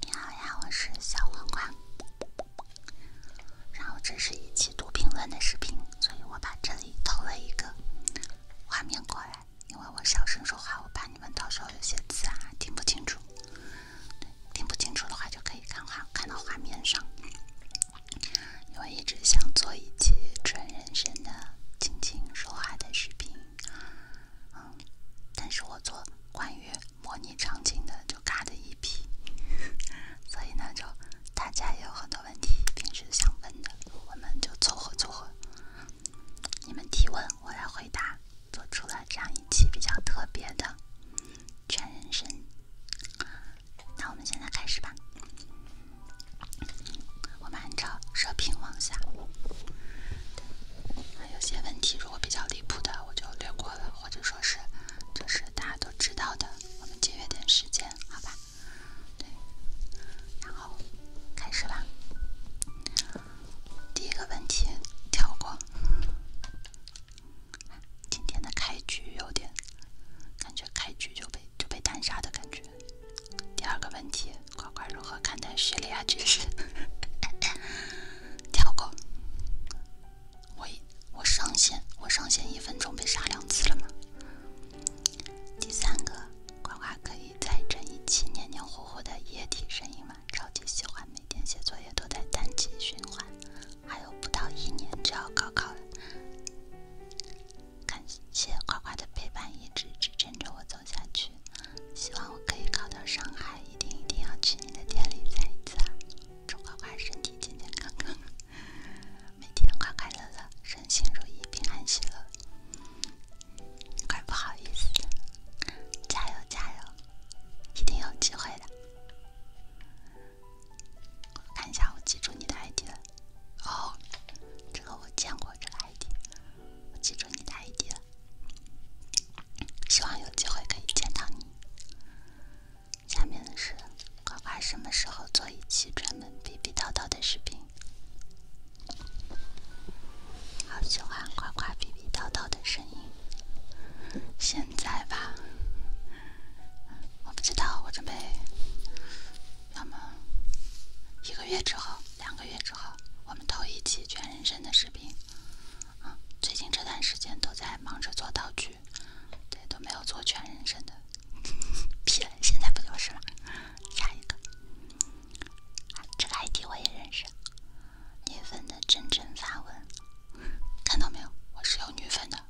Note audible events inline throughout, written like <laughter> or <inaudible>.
你好呀，我是小黄瓜。然后这是一期读评论的视频，所以我把这里投了一个画面过来，因为我小声说话，我怕你们到时候有些字啊听不清楚。听不清楚的话就可以看画，看到画面上。因为一直想做一期纯人声的静静说话的视频。嗯，但是我做关于模拟场景的就尬的一批，<laughs> 所以呢，就大家也有很多问题平时想问的，我们就凑合凑合，你们提问我来回答，做出了这样一期比较特别的全人生。那我们现在开始吧，我们按照射频往下，还有些问题。我比较离谱的，我就略过了，或者说是，就是大家都知道的，我们节约点时间，好吧？对，然后开始吧。第一个问题跳过。今天的开局有点感觉，开局就被就被单杀的感觉。第二个问题。乖乖如何看待叙利亚局势？<laughs> 跳过。我我上线，我上线一分钟被杀两次了吗？第三个，呱呱可以再整一期黏黏糊糊的液体声音吗？超级喜欢，每天写作业都在单机循环。还有不到一年就要高考了，感谢呱呱的陪伴，一直支撑着我走。走下去，希望我可以考到上海，一定一定要去你的店里再一次。啊！祝乖乖身体健健康康，每天快快乐乐，身心如意，平安喜乐。怪不好意思，的，加油加油，一定有机会的。看一下，我记住你的 ID 了。哦，这个我见过，这个 ID，我记住你的 ID 了。希望有机会可以见到你。下面的是夸夸什么时候做一期专门逼逼叨叨的视频？好喜欢夸夸逼逼叨叨的声音。现在吧，我不知道，我准备要么一个月之后，两个月之后，我们投一期全人生的视频。啊，最近这段时间都在忙着做道具，对，都没有做全人生的 P 了，现在不就是了？下一个，这个 ID 我也认识，女粉的真真发文，看到没有？我是有女粉的。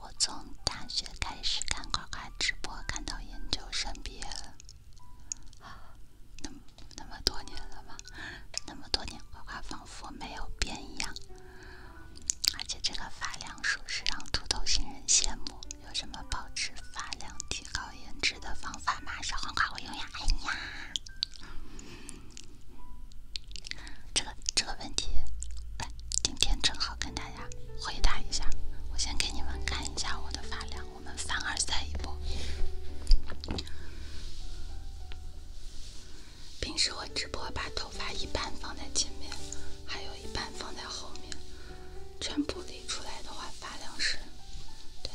我从大学开始看垮垮直播，看到研究生毕业了。那那么多年了吧，那么多年，黄瓜仿佛没有变一样，而且这个发量属实让土豆新人羡慕。有什么保持发量、提高颜值的方法吗？小黄瓜会用呀！哎呀，这个这个问题，今天正好跟大家回答一下。我先给你们看一下我的发量。我们反而再一波。平时我直播把头发一半放在前面，还有一半放在后面，全部理出来的话，发量是，对，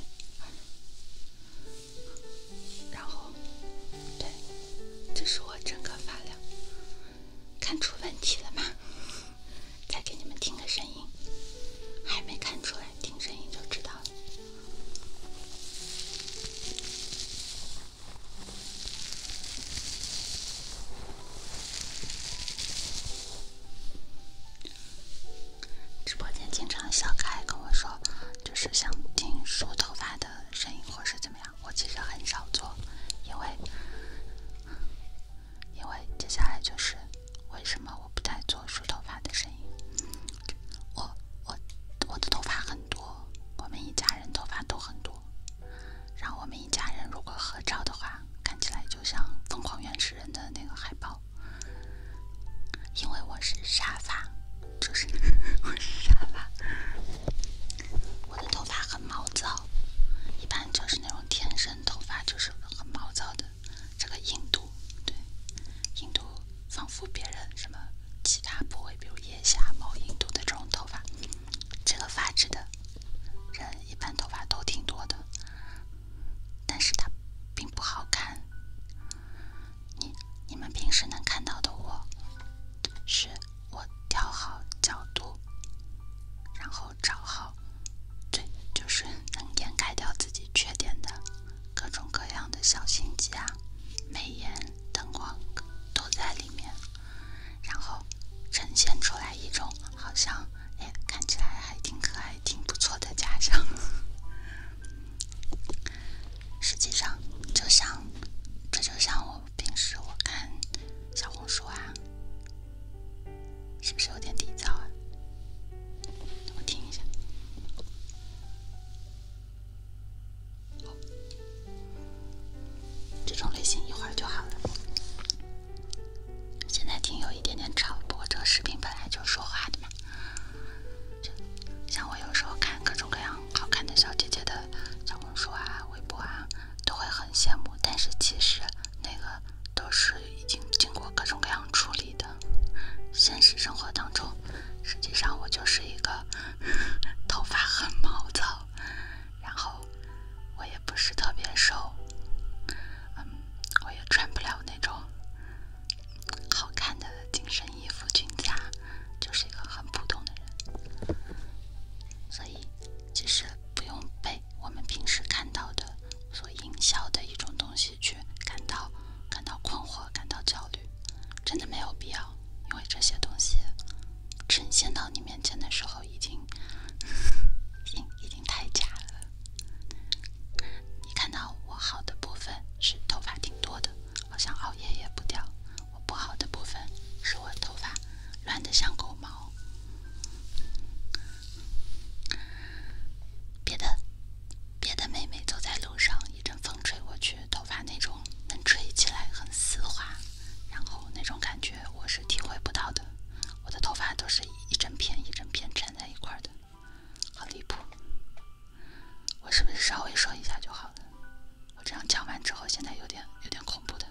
然后，对，这是我整个发量，看出问题了吗？再给你们听个声音，还没看出来。听声音就知道了。直播间经常小凯跟我说，就是想听梳头发的声音，或是怎么样。我其实很少做，因为因为接下来就是。为什么我不太做梳头发的声音？我我我的头发很多，我们一家人头发都很多，然后我们一家人如果合照的话，看起来就像疯狂原始人的那个海报。因为我是沙发，就是 <laughs> 我是沙发，我的头发很毛躁，一般就是那种天生头发就是很毛躁的。这个印度，对，印度仿佛别人什么其他部位，比如腋下、毛、印度的这种头发，这个发质的人一般头发都挺多的，但是它并不好看。你你们平时能看到的我，是我调好角度，然后找好，对，就是能掩盖掉自己缺点的。各种各样的小心机啊，美颜、灯光都在里面，然后呈现出来一种好像，哎，看起来还挺可爱、挺不错的假象。实际上，就像这就像我平时我看小红书啊，是不是有点低？噪啊？我听一下，这种类型一会儿就好了。现在听有一点点吵，不过这个视频本来就说话的嘛。像我有时候看各种各样好看的小姐姐的小红书啊、微博啊，都会很羡慕，但是其实那个都是。已经经过各种各样处理的，现实生活当中，实际上我就是一个 <laughs> 头发很毛躁，然后我也不是特别瘦，嗯，我也穿不了那种好看的紧身衣服裙子啊，就是一个很普通的人，所以其实不用被我们平时看到的所营销的一种东西。去感到感到困惑，感到焦虑，真的没有必要。因为这些东西呈现到你面前的时候，已经已已经太假了。你看到我好的部分是头发挺多的，好像熬夜也不掉；我不好的部分是我头发乱的像狗毛。别的。别的妹妹走在路上，一阵风吹过去，头发那种能吹起来很丝滑，然后那种感觉我是体会不到的。我的头发都是一整片一整片粘在一块的，好离谱。我是不是稍微说一下就好了？我这样讲完之后，现在有点有点恐怖的。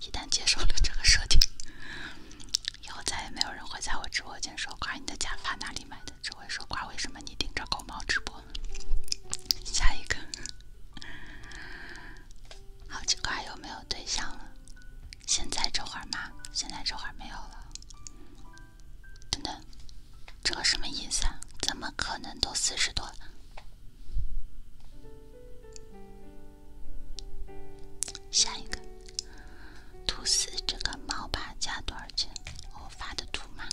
一旦接受了这个设定，以后再也没有人会在我直播间说“夸你的假发哪里买的”这会说话？为什么你盯着狗猫直播？下一个，<laughs> 好奇怪，有没有对象了？现在这会儿吗？现在这会儿没有了。等等，这个什么意思啊？怎么可能都四十多了？下一个。兔死这个猫爬架多少钱？我发的图吗？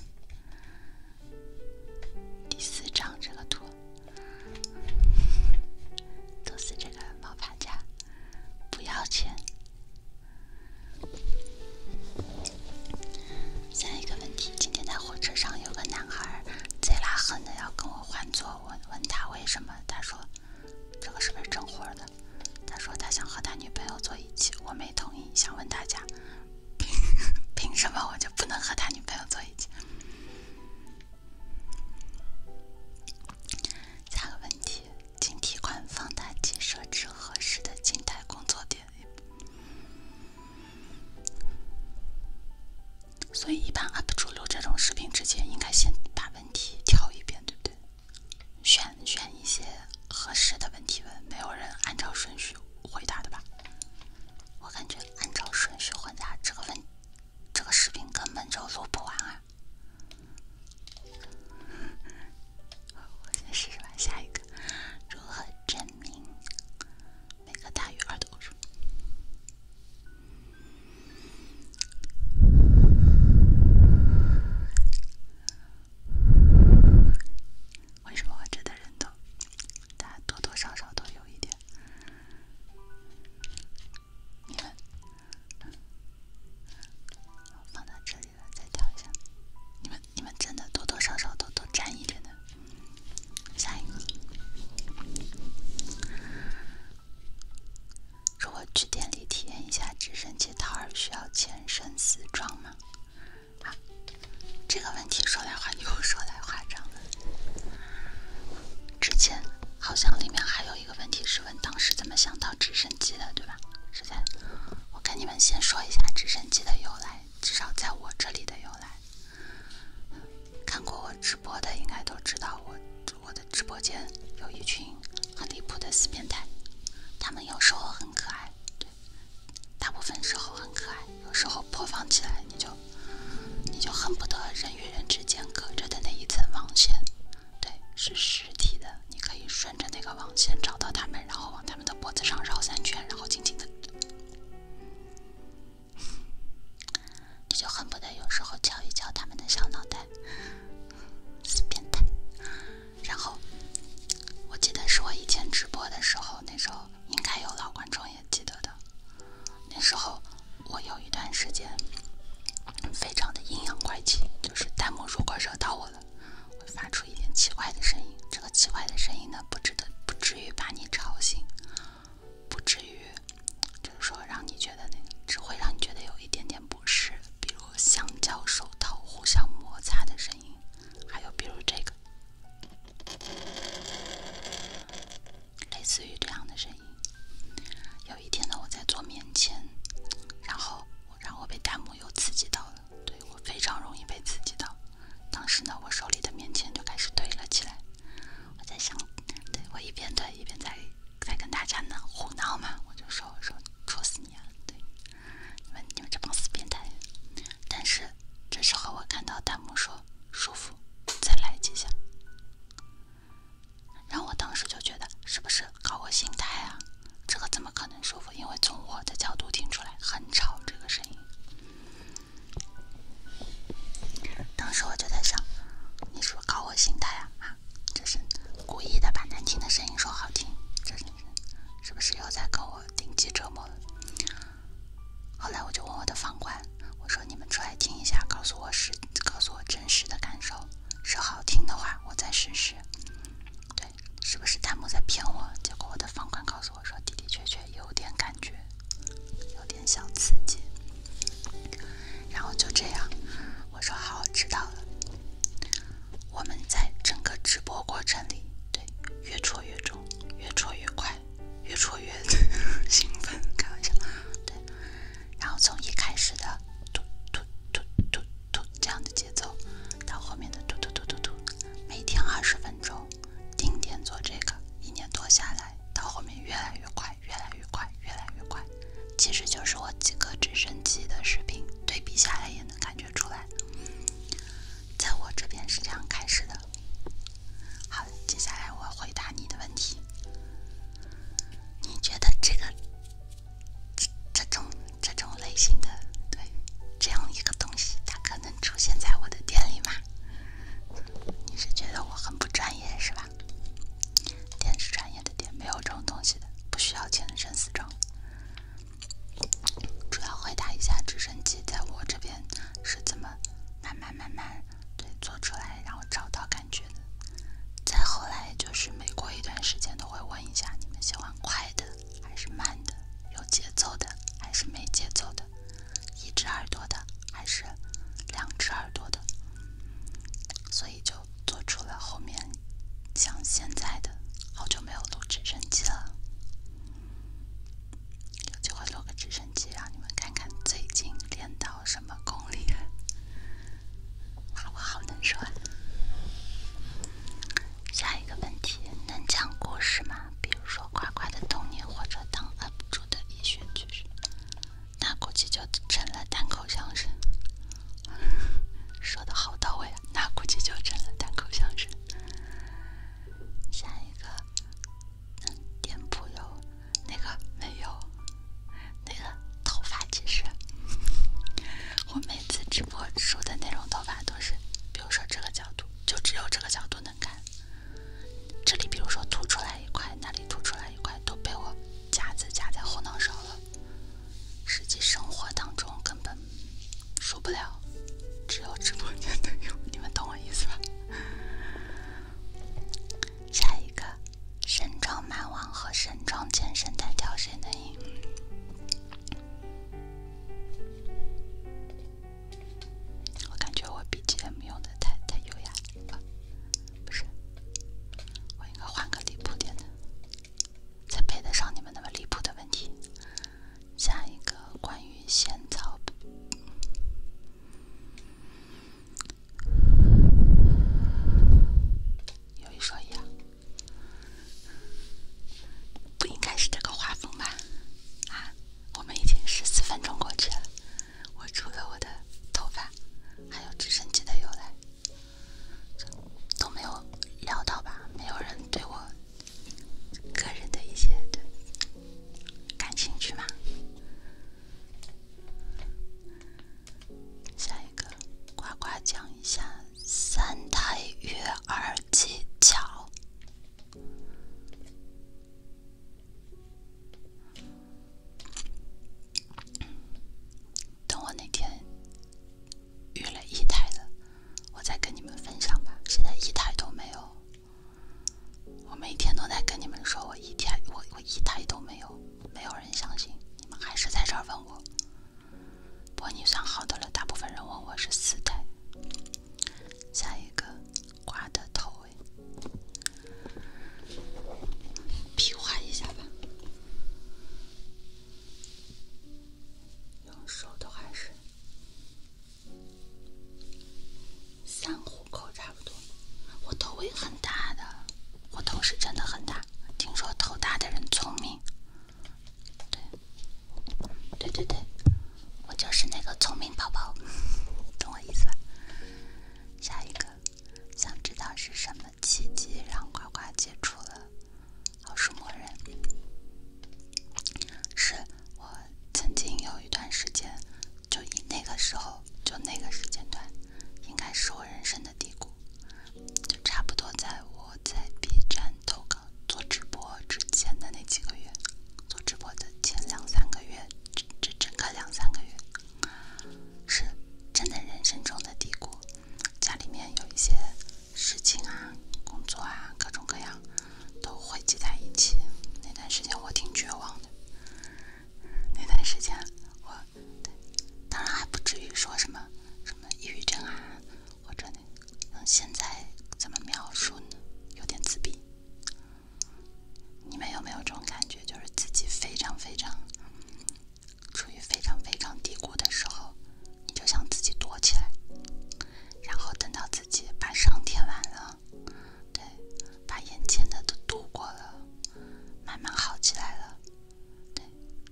第四张这个图，兔死这个猫爬架不要钱。下一个问题，今天在火车上有个男孩贼拉狠的要跟我换座，我问他为什么，他说这个是不是整活的？他说他想和他女朋友坐一起，我没同意，想问大家凭凭什么我就不能和他女朋友坐一起？下个问题，请提管放大器设置合适的静态工作点。所以一般 UP 主录这种视频之前，应该先把问题挑一遍，对不对？选选一些合适的问题问，没有人按照顺序回答的吧？我感觉按照顺序回答，这个问，这个视频根本就录不完啊！<laughs> 我先试试吧，下一个，如何证明每个大于二的偶为什么活着的人都，他多多少少都有一点？你们，我放到这里了，再调一下。你们，你们真的多多少少都多沾一点的。下一个，如果去店里体验一下直升机。桃儿需要全生死装吗？啊，这个问题说来话又说来话长了。之前好像里面还有一个问题是问当时怎么想到直升机的，对吧？是在我跟你们先说一下直升机的由来，至少在我这里的由来。看过我直播的应该都知道，我我的直播间有一群。很离谱的死变态，他们有时候很可爱，对，大部分时候很可爱，有时候播放起来，你就，你就恨不得人与人之间隔着的那一层网线，对，是实体的，你可以顺着那个网线找到他们，然后往他们的脖子上绕三圈，然后紧紧的，你就恨不得有时候敲一敲他们的小脑袋，死变态。然后，我记得是我以前直播的时候，那时候应该有老观众也记得的。那时候我有一段时间非常的阴阳怪气，就是弹幕如果惹到我了，会发出一点奇怪的声音。这个奇怪的声音呢，不值得，不至于把你吵醒，不至于，就是说让你觉得那个，只会让你觉得有一点点不。是，比如橡胶手套互相摩擦的声音，还有比如这个，类似于这样的声音。有一天呢，我在做棉签，然后然后被弹幕又刺激到了，对我非常容易被刺激到。当时呢，我手里的棉签就开始堆了起来。我在想，对我一边堆一边在在跟大家呢胡闹嘛，我就说我说戳死你啊，对。你们你们这帮死变态！但是这时候我看到弹幕说舒服，再来几下，然后我当时就觉得是不是搞我心态啊？这个怎么可能舒服？因为从我的角度听出来很吵这个声音。当时我就在想，你是不是搞我心态啊？啊，这是。故意的把难听的声音说好听，这是是不是又在跟我顶级折磨？了？后来我就问我的房管，我说：“你们出来听一下，告诉我是告诉我真实的感受。是好听的话，我再试试。对，是不是弹幕在骗我？结果我的房管告诉我说，的的确确有点感觉，有点小刺激。然后就这样，我说好，知道了。”我们在整个直播过程里，对，越戳越重，越戳越快，越戳越兴奋，开玩笑，对。然后从一开始的嘟嘟嘟嘟嘟这样的节奏，到后面的嘟嘟嘟嘟嘟，每天二十分钟定点做这个，一年多下来，到后面越来越快，越来越快，越来越快，其实就是我几个直升机的视频对比下来也。能感觉出来，在我这边是这样开始的。好接下来我回答你的问题。你觉得这个这这种这种类型的，对，这样一个东西，它可能出现在我的店里吗？你是觉得我很不专业是吧？店是专业的店，没有这种东西的，不需要签生死状。主要回答一下直升机在我这边是怎么慢慢慢慢对做出来，然后找到感觉的。再后来就是每过一段时间都会问一下你们喜欢快的还是慢的，有节奏的还是没节奏的，一只耳朵的还是两只耳朵的。所以就做出了后面。像现在的，好久没有录直升机了，有机会录个直升机让你们看看最近练到什么功力了。我好能说。下一个问题，能讲故事吗？比如说夸夸的童年，或者当 UP 主的逸选趣事，那估计就成了单口相声。<laughs> 说的好到位啊，那估计就成了单口相声。下一个，嗯，店铺有那个没有？那个头发，其实我每次直播说的那种头发都是，比如说这个角度，就只有这个角度能看。这里比如说凸出来一块，那里凸出来一块，都被我夹子夹在后脑勺了。实际生活当中根本输不了，只有直播间能赢。你们懂我意思吧？下一个，神装蛮王和神装健身单挑谁能赢？我感觉我 BGM 用的太太优雅了，不是？我应该换个离谱点的。才配得上你们那么离谱的问题。下一个关于仙草，有一说一啊，不应该是这个画风吧？啊，我们已经十四分钟过去了，我除了我的头发，还有直升机的由来，都没有聊到吧？没有人对我个人的一些感兴趣吗？下一个，呱呱讲一下三胎育儿技巧。等我哪天育了一胎了。我再跟你们分享吧，现在一台都没有。我每天都在跟你们说，我一台，我我一台都没有，没有人相信。你们还是在这儿问我。不过你算好的了，大部分人问我是四台。下一个，瓜的头，比划一下吧。用手都还是三虎口差不多。我头也很大的，我头是真的很大。听说头大的人聪明，对，对对对我就是那个聪明宝宝，<laughs> 懂我意思吧？下一个，想知道是什么奇迹让呱呱接触了？好说，默认是我曾经有一段时间，就以那个时候，就那个时间段，应该是我人生的低谷，就差不多在我在 B 站投稿、做直播之前的那几个月，做直播的前两三个月，这这整个两三个月，是真的人生中的低谷。家里面有一些。事情啊，工作啊，各种各样都汇集在一起。那段时间我挺绝望的，那段时间我当然还不至于说什么什么抑郁症啊，或者嗯，现在怎么描述呢？有点自闭。你们有没有这种感觉，就是自己非常非常处于非常非常低谷的时候？你就想自己躲起来，然后等到自己把伤填完了，对，把眼前的都度过了，慢慢好起来了，对，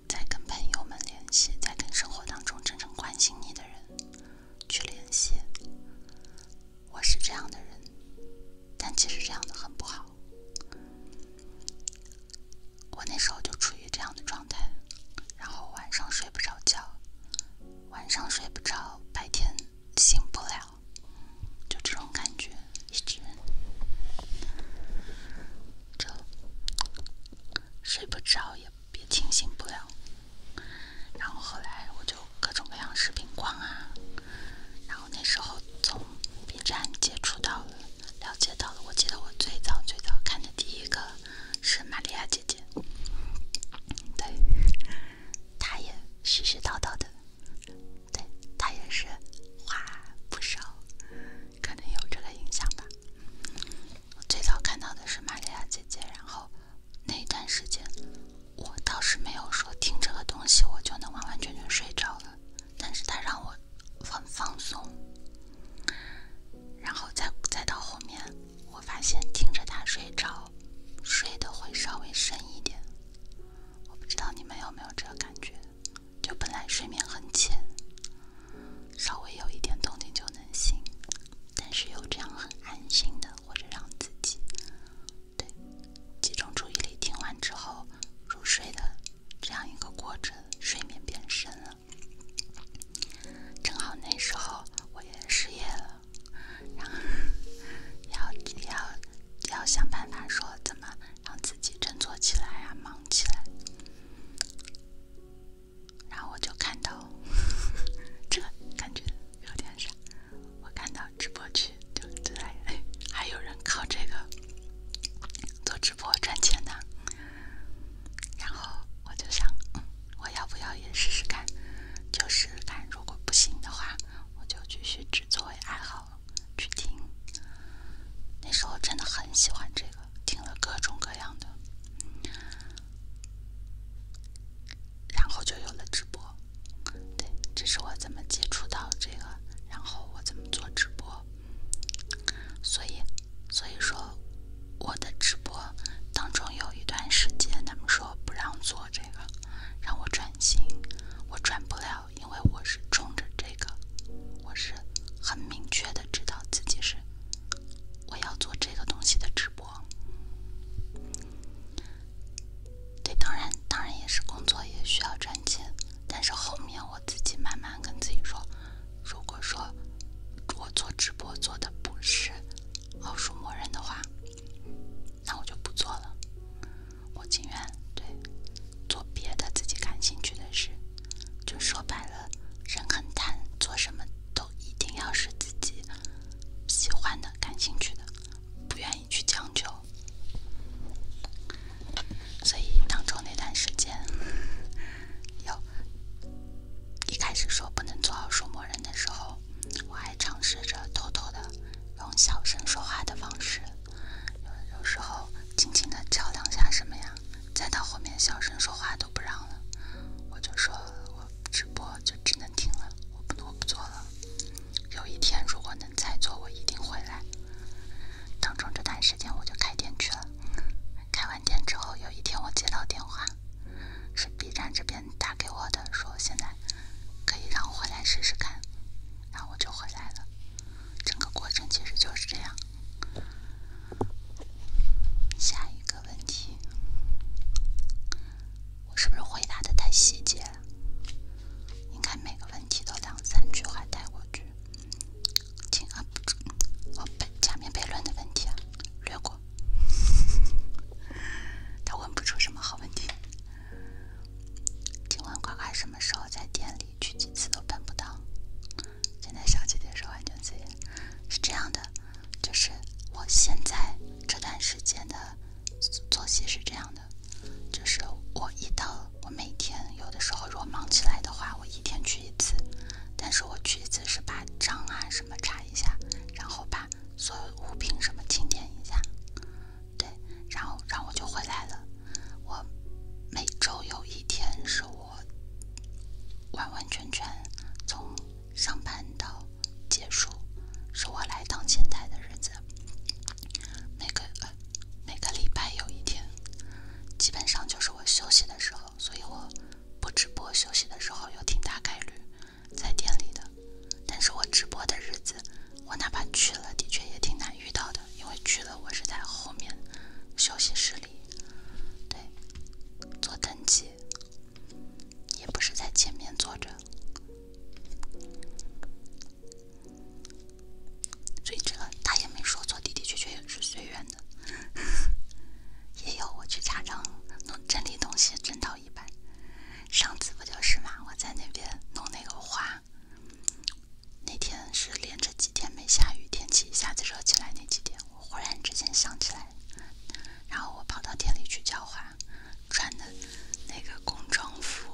再跟朋友们联系，再跟生活当中真正关心你的人去联系。我是这样的人，但其实这样的很不好。我那时候就处于这样的状态，然后晚上睡不着觉，晚上睡不着，白天醒不了，就这种感觉一直，就睡不着也也清醒不了。然后后来我就各种各样视频逛啊，然后那时候从 B 站接触到了，了解到了。我记得我最早最早看的第一个是玛利亚姐姐，对，她也絮絮叨叨的，对她也是话不少，可能有这个影响吧。我最早看到的是玛利亚姐姐，然后那一段时间，我倒是没有说听这个东西我就能完完全全睡着了，但是它让我很放松。然后再再到后面，我发现听着它睡着，睡的会稍微深一点。我不知道你们有没有这个感觉，就本来睡眠很浅，稍微有一点动静就能醒，但是有这样很安心的，或者让自己对集中注意力听完之后入睡的这样一个过程，睡眠变深了。正好那时候我也失业了，然后 <laughs> 要要要想办法说怎么让自己振作起来啊，忙起来。然后我就看到 <laughs> 这感觉有点傻。我看到直播区，就对，还有人靠这个做直播赚钱的。然后我就想，我要不要也试试看？就是看如果不行的话，我就继续只作为爱好去听。那时候真的很喜欢这个，听了各种各样的，然后就有了直播。对，这是我怎么接触到这个，然后我怎么做直播。所以，所以说，我的直播当中有一段时间，他们说不让做这个，让我转型，我转不了，因为我是冲着这个，我是很明确的知道自己是我要做这个东西的直播。对，当然，当然也是工作也需要赚钱，但是后面我自己慢慢跟自己说。如果说我做直播做的不是奥数默认的话，那我就不做了。我情愿对做别的自己感兴趣的事。就说白了，人很贪，做什么都一定要是自己喜欢的、感兴趣的，不愿意去将就。所以当中那段时间，有。一开始说不能做好说魔人的时候，我还尝试着偷偷的用小声说话的方式，有有时候轻轻的敲两下什么呀，再到后面小声说话都不让了，我就说我直播就只能停了，我不我不做了。有一天如果能再做，我一定回来。当中这段时间我就开店去了，开完店之后有一天我接到电话。是 B 站这边打给我的，说现在可以让我回来试试看，然后我就回来了。整个过程其实就是这样。下一个问题，我是不是回答的太细节了？应该每个问题都两三句话带过去。今儿哦不，假面悖论的问题啊，略过。<laughs> 他问不出什么好问题。今晚乖乖什么时候在店里去几次都碰不到。现在小姐姐说完全自言是这样的，就是我现在这段时间的作息是这样的，就是我一到我每天有的时候如果忙起来的话，我一天去一次。但是我去一次是把账啊什么查一下，然后把所有物品什么清点一下，对，然后然后我就回来了。我每周有一天是我完完全全从上班到结束，是我来当前台的日子。每个呃、每个礼拜有一天，基本上就是我休息的时候，所以我。不直播休息的时候有挺大概率在店里的，但是我直播的日子，我哪怕去了，的确也挺难遇到的，因为去了我是在后面休息室里，对，做登记，也不是在前面坐着，所以这个他也没说错，的的确确也是随缘。<laughs> 也有我去家长弄整理东西，真到一般。上次不就是嘛？我在那边弄那个花，那天是连着几天没下雨，天气一下子热起来那几天，我忽然之间想起来，然后我跑到店里去浇花，穿的那个工装服，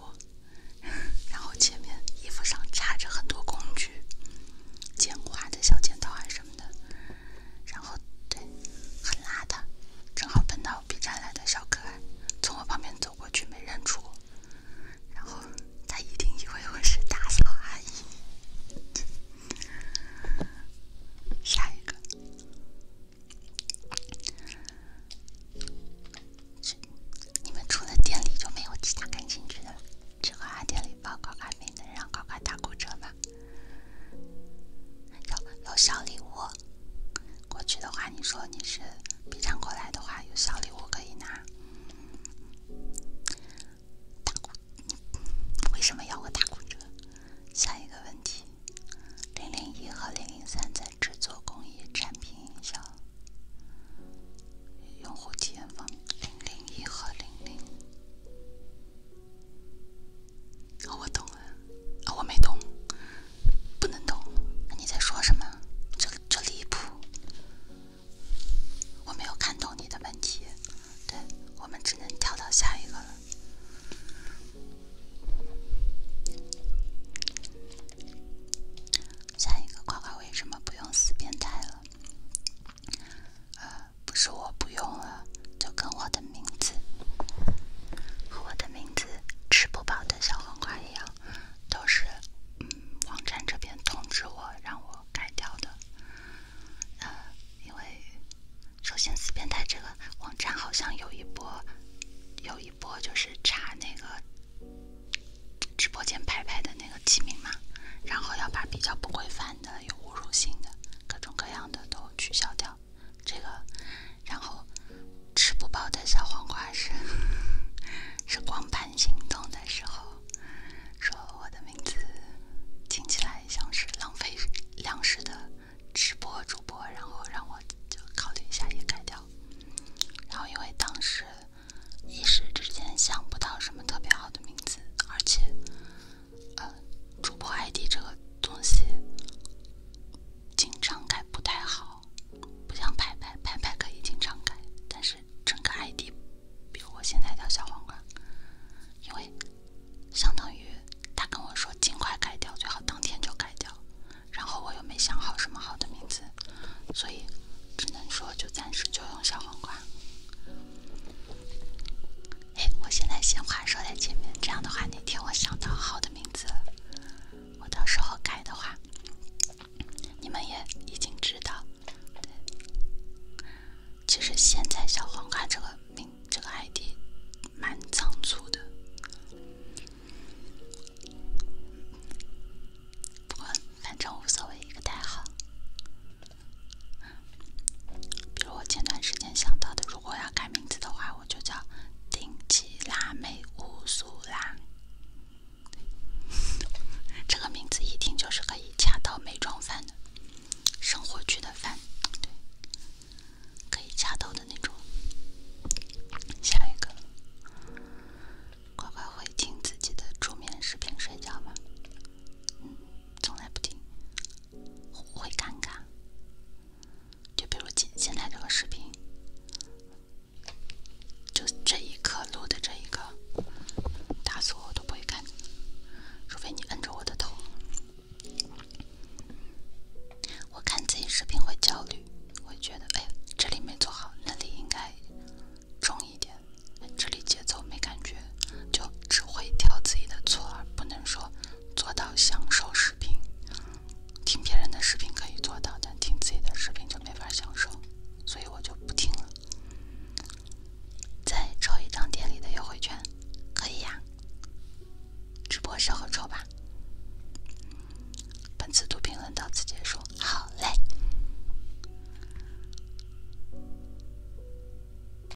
然后前面衣服上插着很多工具，剪花的小剪刀啊什么的。然后，对，很邋遢。正好碰到 B 站来的小可爱，从我旁边走过去没认出我，然后他一定以为我是打扫阿姨。下一个，你们除了店里就没有其他感兴趣的了？这个啊，店里。报高考名能让高考打骨折吗？有有小礼物。过去的话，你说你是 B 站过来的话，有小礼物可以拿。打骨为什么要我打骨折？下一个问题：零零一和零零三在制作工艺、产品营销、用户体验方面，零零一和零零。我懂了，我没懂，不能懂。你在说什么？这这离谱！我没有看懂你的问题。对，我们只能跳到下一个了。下一个，夸夸为什么不用死变态了？不是我不用了，就跟我的名字和我的名字吃不饱的小黄瓜一样，都是嗯网站这边通知我让我改掉的。呃，因为首先四变态这个网站好像有一波有一波就是查那个直播间牌牌的那个起名嘛，然后要把比较不规范。的有侮辱性的，各种各样的都取消掉这个，然后吃不饱的小黄瓜是 <laughs> 是光盘行动的时候说我的名字听起来像是浪费粮食的直播主播，然后让我就考虑一下也改掉，然后因为当时一时之间想不到什么特别好的名字，而且。呃，主播 ID 这个东西经常改不太好，不想排排排。拍可以经常改。但是整个 ID，比如我现在叫小黄瓜，因为相当于他跟我说尽快改掉，最好当天就改掉。然后我又没想好什么好的名字，所以只能说就暂时就用小黄瓜。哎，我现在先话说在前面，这样的话，哪天我想到好的名字，我到时候改的话，你们也已经知道。对。其实现在小黄瓜这个名这个 ID 蛮仓促的，不过反正无所谓，一个代号。比如我前段时间想到的，如果要改名字的话，我就叫“顶级辣妹乌苏拉”。<laughs> 这个名字一听就是可以恰到美妆饭的，生活剧的饭，对，可以掐头的那种。下一个，乖乖会听自己的助眠视频睡觉吗？嗯，从来不听。会会尴尬，就比如今现在这个视频，就这一刻录的这一个，打死我我都不会看，除非你摁着我的头。我看自己视频会焦虑，会觉得哎，这里没做好，那里应该重一点，这里节奏没感觉。就只会挑自己的错，而不能说做到享受视频。听别人的视频可以做到，但听自己的视频就没法享受，所以我就不听了。再抽一张店里的优惠券，可以呀。直播时候抽吧。本次读评论到此结束。好嘞。